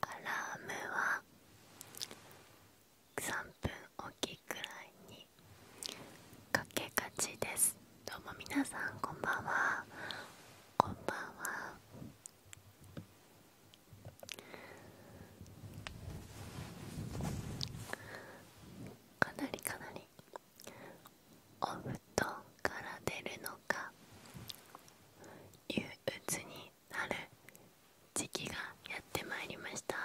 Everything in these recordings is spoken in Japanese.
アラームは3分おきくらいにかけがちですどうもみなさんこんばんはこんばんはかなりかなりお布団から出るのか。憂鬱になる時期がやってまいりました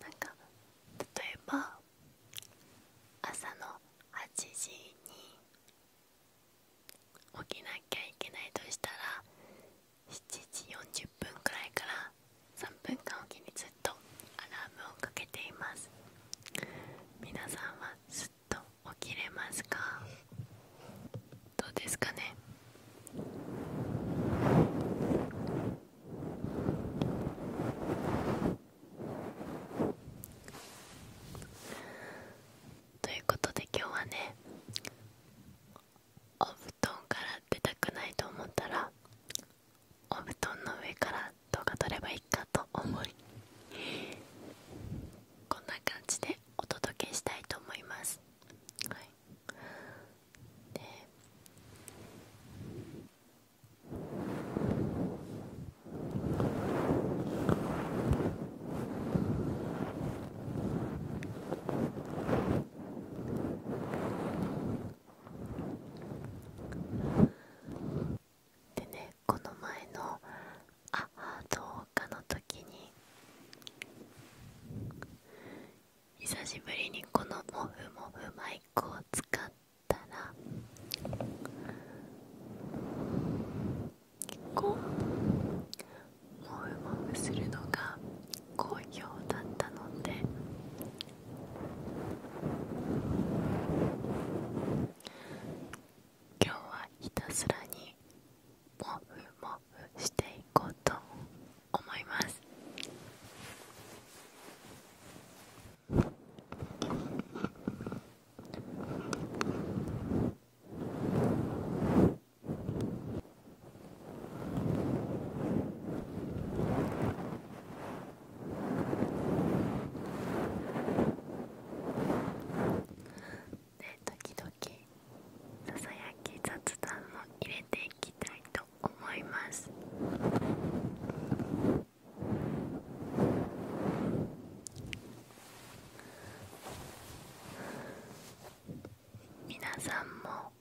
なんか例えば朝の8時に起きなきゃいけないとしたら7時40分くらいから3分間おきにずっとアラームをかけています皆さんはずっと起きれますかどうですかねということで今日はねお布団から出たくないと思ったらお布団の上から動画撮ればいいかと思いこんな感じでお届けしたいと思います、はい、ででねこの前の「ああどうか」の時に久しぶりにこのモフモフマイクを使ったら構もふもふするのが好評だったので今日はひたすらにもふもふしていこうと思います。で時々ささやき雑談を入れていきたいと思います皆さんも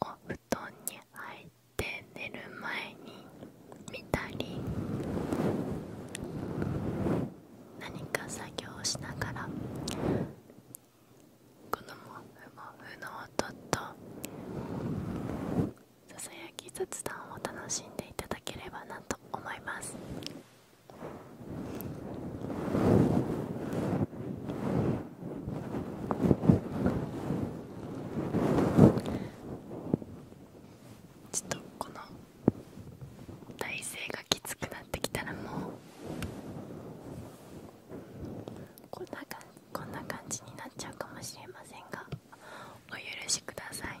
お布団に入って寝る前に見たり何か作業をしながらこのモフモフの音とささやき雑談を楽しんでいただければなと思いますちょっとこの体勢がきつくなってきたらもうこんな感じこんな感じになっちゃうかもしれませんがお許しください。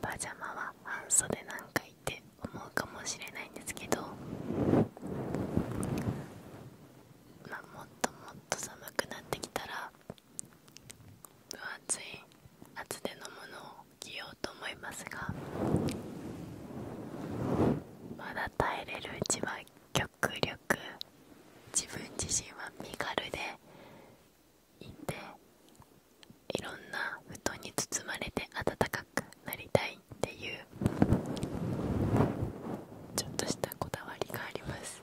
パジャマは半袖なんかいて思うかもしれないんですけど、まあ、もっともっと寒くなってきたら分厚い厚手のものを着ようと思いますがまだ耐えれるうちは極力自分自身は身軽でいんでいろんな布団に包まれて暖かくなりたいっていうちょっとしたこだわりがあります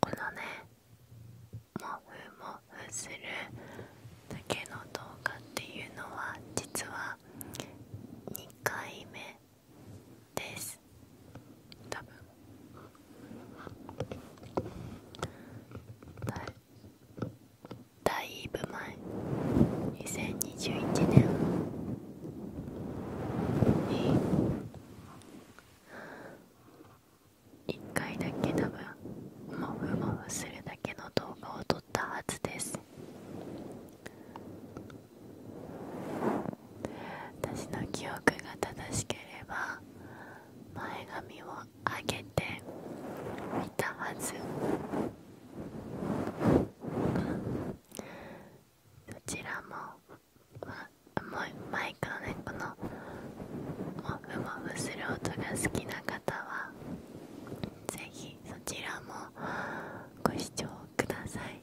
このねモフモフするだけの動画っていうのは実は2回目です多分だだいぶ前2021年1回だけ多分モフモフするだけの動画を撮ったはずです私の記憶が正しければ前髪を上げて見たはずマイクのねこのモフモする音が好きな方はぜひそちらもご視聴ください。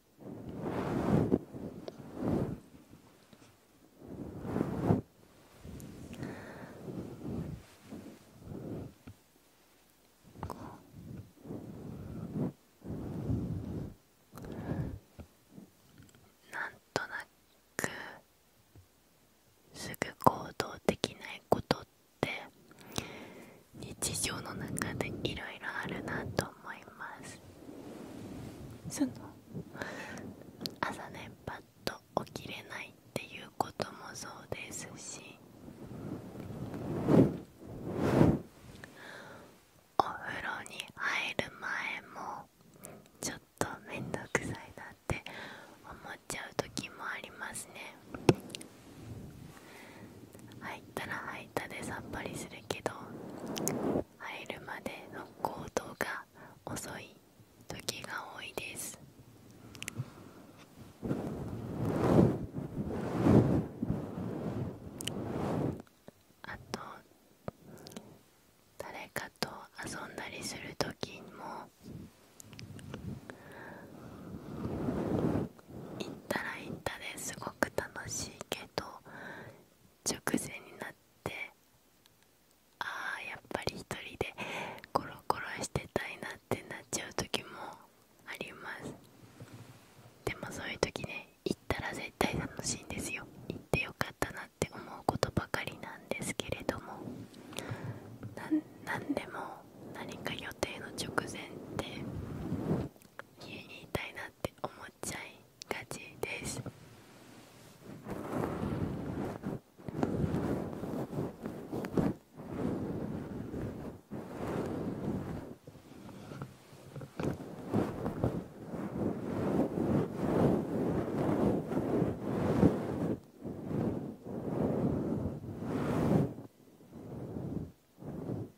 なんとなくすぐ行動できないことってっ日常の中でいろいろあるなと思います朝ねパッと起きれないっていうこともそうですしお風呂に入る前もちょっと面倒くさいなって思っちゃう時もありますね入ったら入ったでさっぱりするけど入るまでの行動が遅い時が多いですあと誰かと遊んだりする時も行ったら行ったですごく楽しいけど直前になってああやっぱり一人でコロコロしてたいなってなっちゃう時もありますでもそういう時ね行ったら絶対楽しいんですよ行ってよかったなって思うことばかりなんですけれども何でも何か予定の直前って言いたいなって思っちゃいがちです「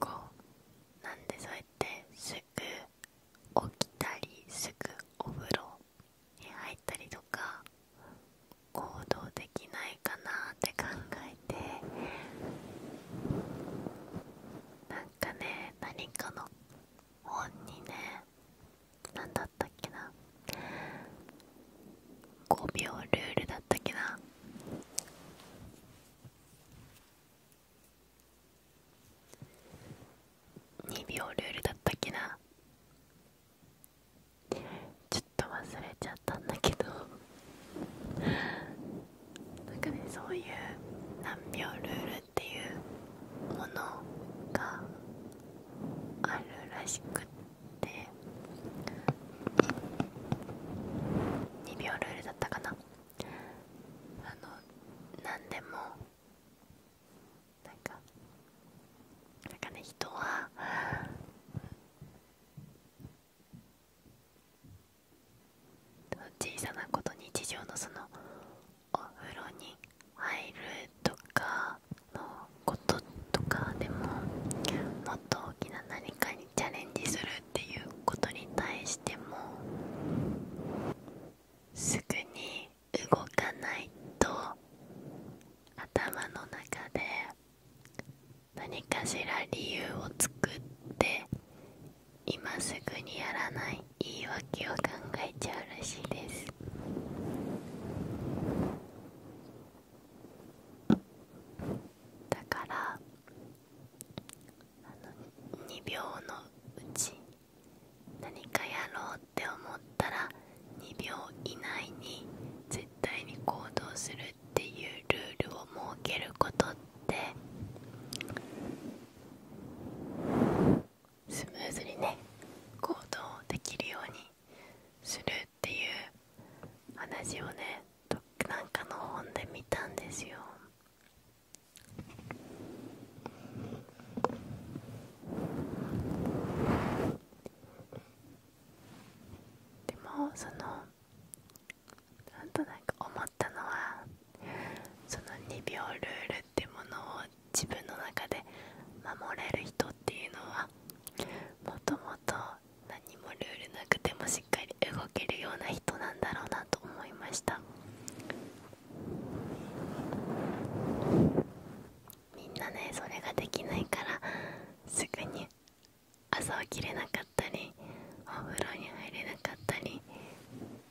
こうなんでそうやってすぐ起きたりすぐお風呂に入ったりとか行動できないかなって考えてなんかね何かの本にね何だったっけな5秒ルールだったっけな2秒ルールだったっけなちょっと忘れちゃったんだけどなんかねそういう何秒ルールっていうものがあるらしくって2秒ルールだったかなあの何でもなんかなんかね人は小さなこと日常のそのお風呂に入るとかのこととかでももっと大きな何かにチャレンジするっていうことに対してもすぐに動かないと頭の中で何かしら理由を作って今すぐにやらない言い訳を考えちゃうらしいですだから2秒のうち何かやろうって思ったら2秒以内に絶対に行動するっていうルールを設けることっスムーズにね行動できるようにするっていう話をねどなんかの本で見たんですよ。でもそのなんとなく思ったのはその2秒ルールってものを自分の中で守れる人っていうのはもともと何もルールなくてもしっかり動けるような人なんだろうなと思いましたみんなねそれができないからすぐに朝起きれなかったりお風呂に入れなかったり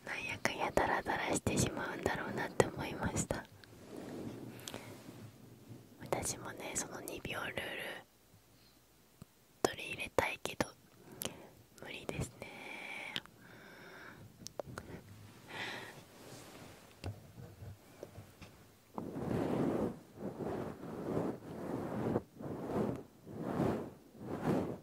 なんやかんやダラダラしてしまうんだろうなって思いました私もねその2秒ルール取り入れたいけど無理ですね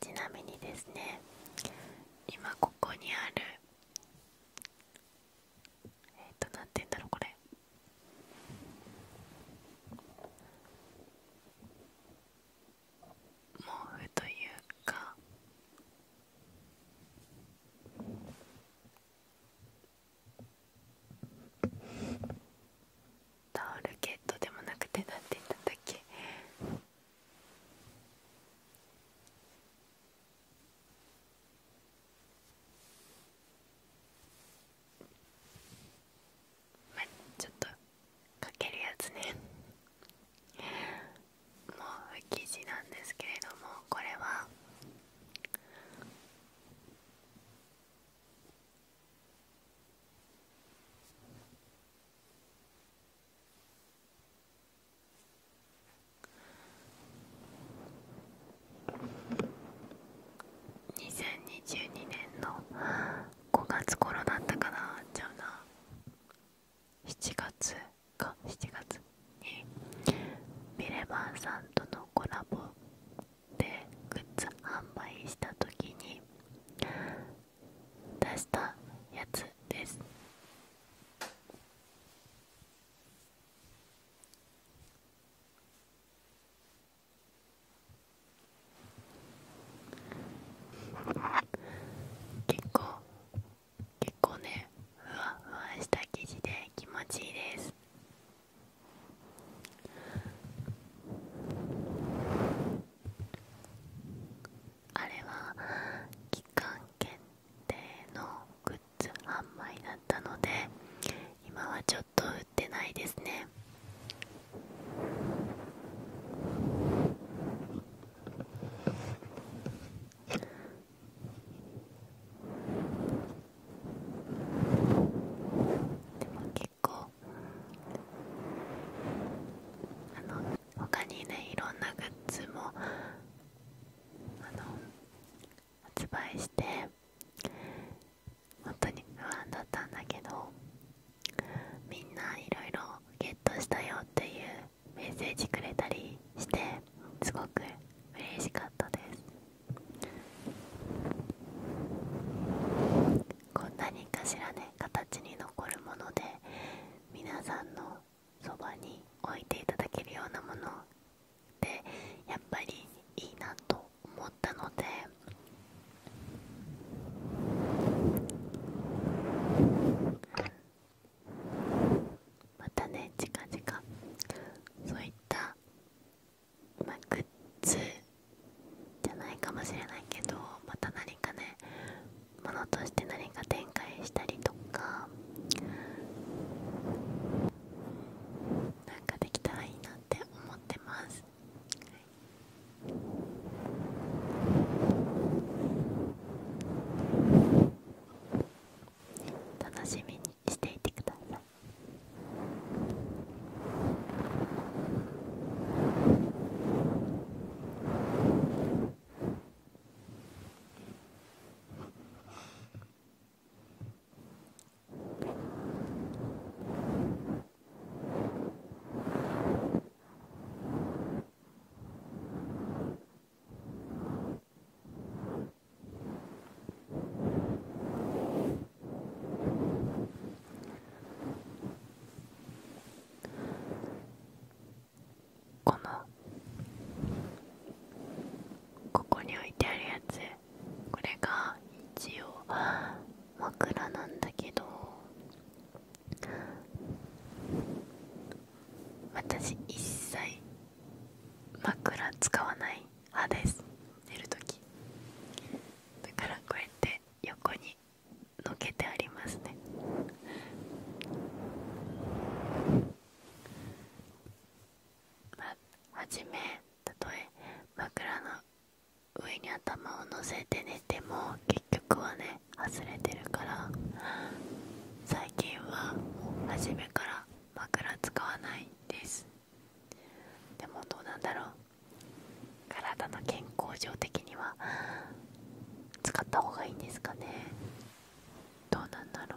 ちなみにですね今ここにあるえっ、ー、と何て言うんだろうこれ毛布というかタオルケットでもなくてなんて言ったんだっけまあちょっとかけるやつねもう生地なんですけれどもこれは2022年の5月頃だったかなちゃうな7月か7月にミレバンさんとのコラボっグッズ販売した時に出したやつです結構結構ねふわふわした生地で気持ちいいですあれは期間限定のグッズ販売だったので今はちょっと売ってないですねでも結構あの他にねいろんなグッズも発売して本当に不安だったんだけどみんないろいろゲットしたよっていうメッセージくれたりしてすごく嬉しかったです。こう何かしらね形に残るもので皆さんのそばに置いていただけるようなもので、やっぱりいいなと思ったのでまたね近々そういったまあ、グッズじゃないかもしれないけどまた何かねものとして何か展開したりとかなんかできたらいいなって思ってます、楽しみにしていてください。このここに置いてあるやつこれが一応枕なんだけど私一切枕使わない派です寝るときだからこうやって横にのけてありますねまあはじめたとえ枕の上に頭を乗せて寝ても結局はね外れてるから最近はもう初めから枕使わないですでもどうなんだろう体の健康上的には使った方がいいんですかねどうなんだろう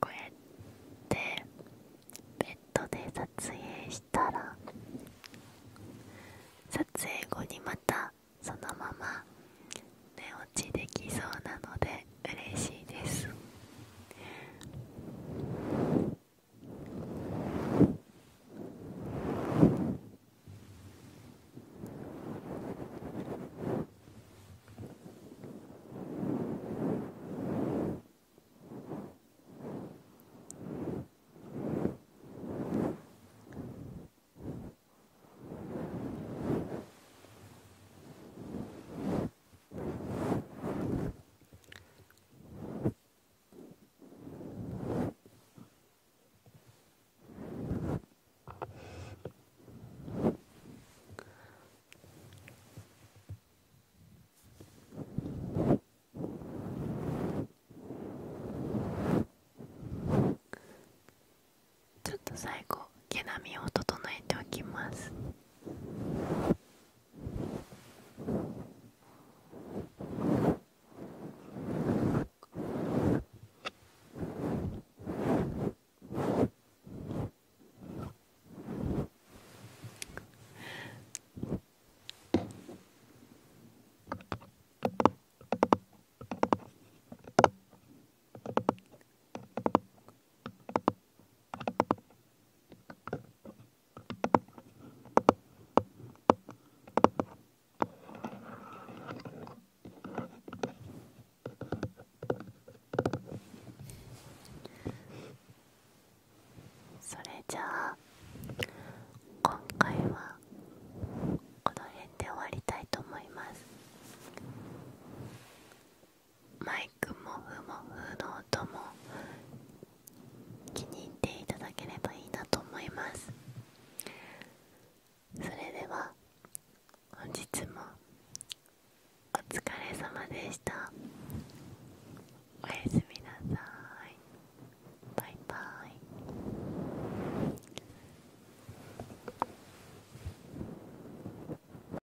こうやってベッドで撮影したら撮影後にまたそのまま寝落ちできそうなので嬉しいです「ちょっと最後毛並みを整えておきますそれじゃあ今回はこの辺で終わりたいと思います。マイクもふもふの音も気に入っていただければいいなと思いますそれでは本日もお疲れ様でしたおやすみなさいバイバイ